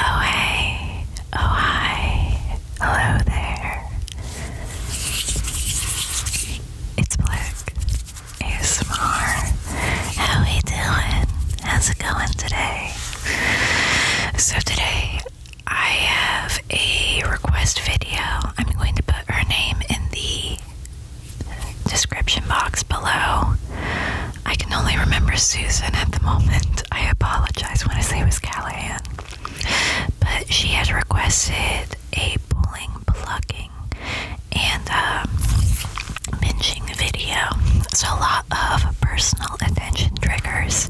Oh, hey, oh, hi, hello there. It's Black ASMR. How we doing? How's it going today? So, today I have a request video. I'm going to put her name in the description box below. I can only remember Susan at the moment. I apologize when I say it was Callahan. But she had requested a pulling, plugging, and um, pinching video. So a lot of personal attention triggers.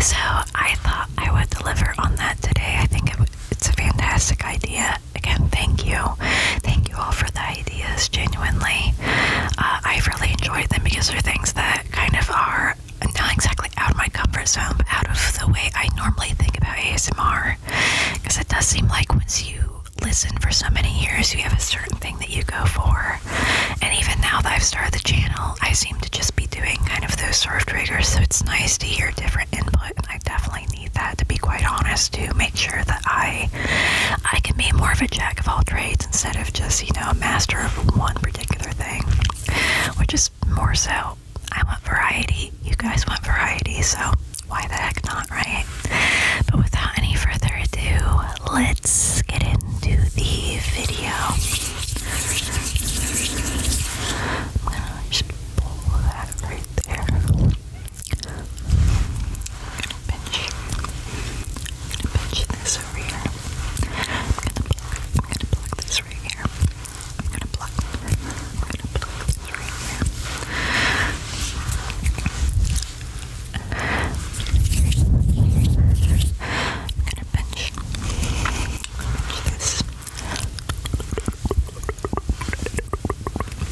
So I thought I would deliver on that today. I think it's a fantastic idea. Again, thank you. Thank you all for that ideas genuinely. Uh, I've really enjoyed them because they're things that kind of are not exactly out of my comfort zone, but out of the way I normally think about ASMR. Because it does seem like once you listen for so many years, you have a certain thing that you go for. And even now that I've started the channel, I seem to just be doing kind of those sort of triggers. So it's nice to hear different input, and I definitely need that to be quite honest to make sure that I I can be more of a jack of all trades instead of just, you know, a master of one particular thing, which is more so. I want variety. You guys want variety, so why the heck not, right? But without any further ado, let's get into the video. I'm gonna just pull that right there gonna pinch, I'm gonna pinch this over here. I'm gonna pluck, I'm gonna pluck this right here. I'm gonna pluck, I'm gonna pluck this right here. I'm gonna pinch, pinch this. I'm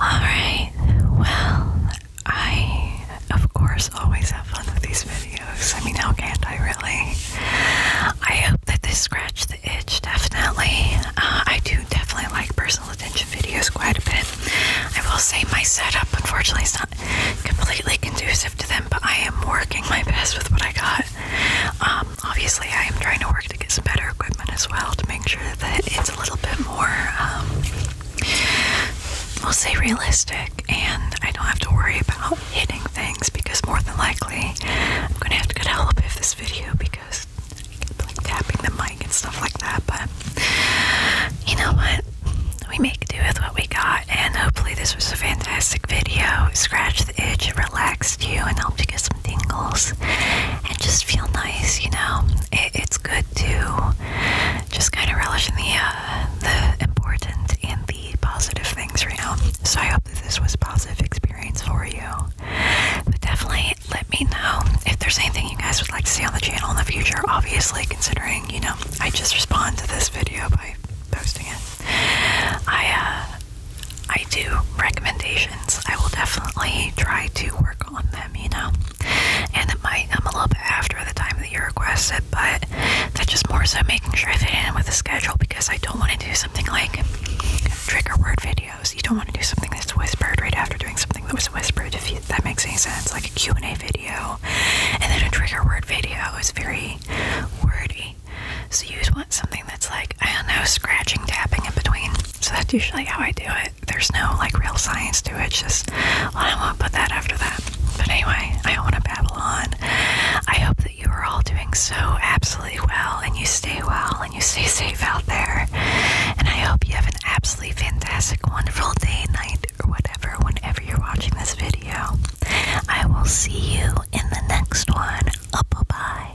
Alright, well, I, of course, always have fun with these videos. I mean, how can I really? I hope that this scratched the itch, definitely. Uh, I do definitely like personal attention videos quite a bit. I will say my setup, unfortunately, is not completely conducive to them, but I am working my best with what I got. Um, obviously, I am trying to work to get some better equipment as well to make sure that it's a little bit more, um, we'll say, realistic, and I don't have to worry about hitting things because more than likely I'm gonna have to get help if this video because keep like tapping the mic and stuff like that. But you know what? We make do with what we got, and hopefully this was a fantastic video. Scratched the itch, it relaxed you, and helped you get some tingles, and just feel nice. You know, it's good to just kind of relish in the uh, important and the positive things right now. So I hope that this was a positive experience for you. But definitely let me know if there's anything you guys would like to see on the channel in the future. Obviously, considering, you know, I just respond to this video by posting it. I uh, I do recommendations. I will definitely try to work on them, you know. And it might come a little bit after the time that you requested, but but that's just more so making sure I fit in with the schedule because I don't want to do something like trigger word videos. You don't want to do something that's whispered right after doing something that was whispered, if you, that makes any sense, like a Q&A video. And then a trigger word video is very wordy. So you want something that's like, I don't know, scratching, tapping in between. So that's usually how I do it. There's no like real science to it. just, I won't put that after that. But anyway, I want to babble on. I hope that you are all doing so absolutely well and you stay well and you stay safe out there. And I hope you have an absolutely fantastic, wonderful day, night, or whatever, whenever you're watching this video. I will see you in the next one. Oh, bye bye.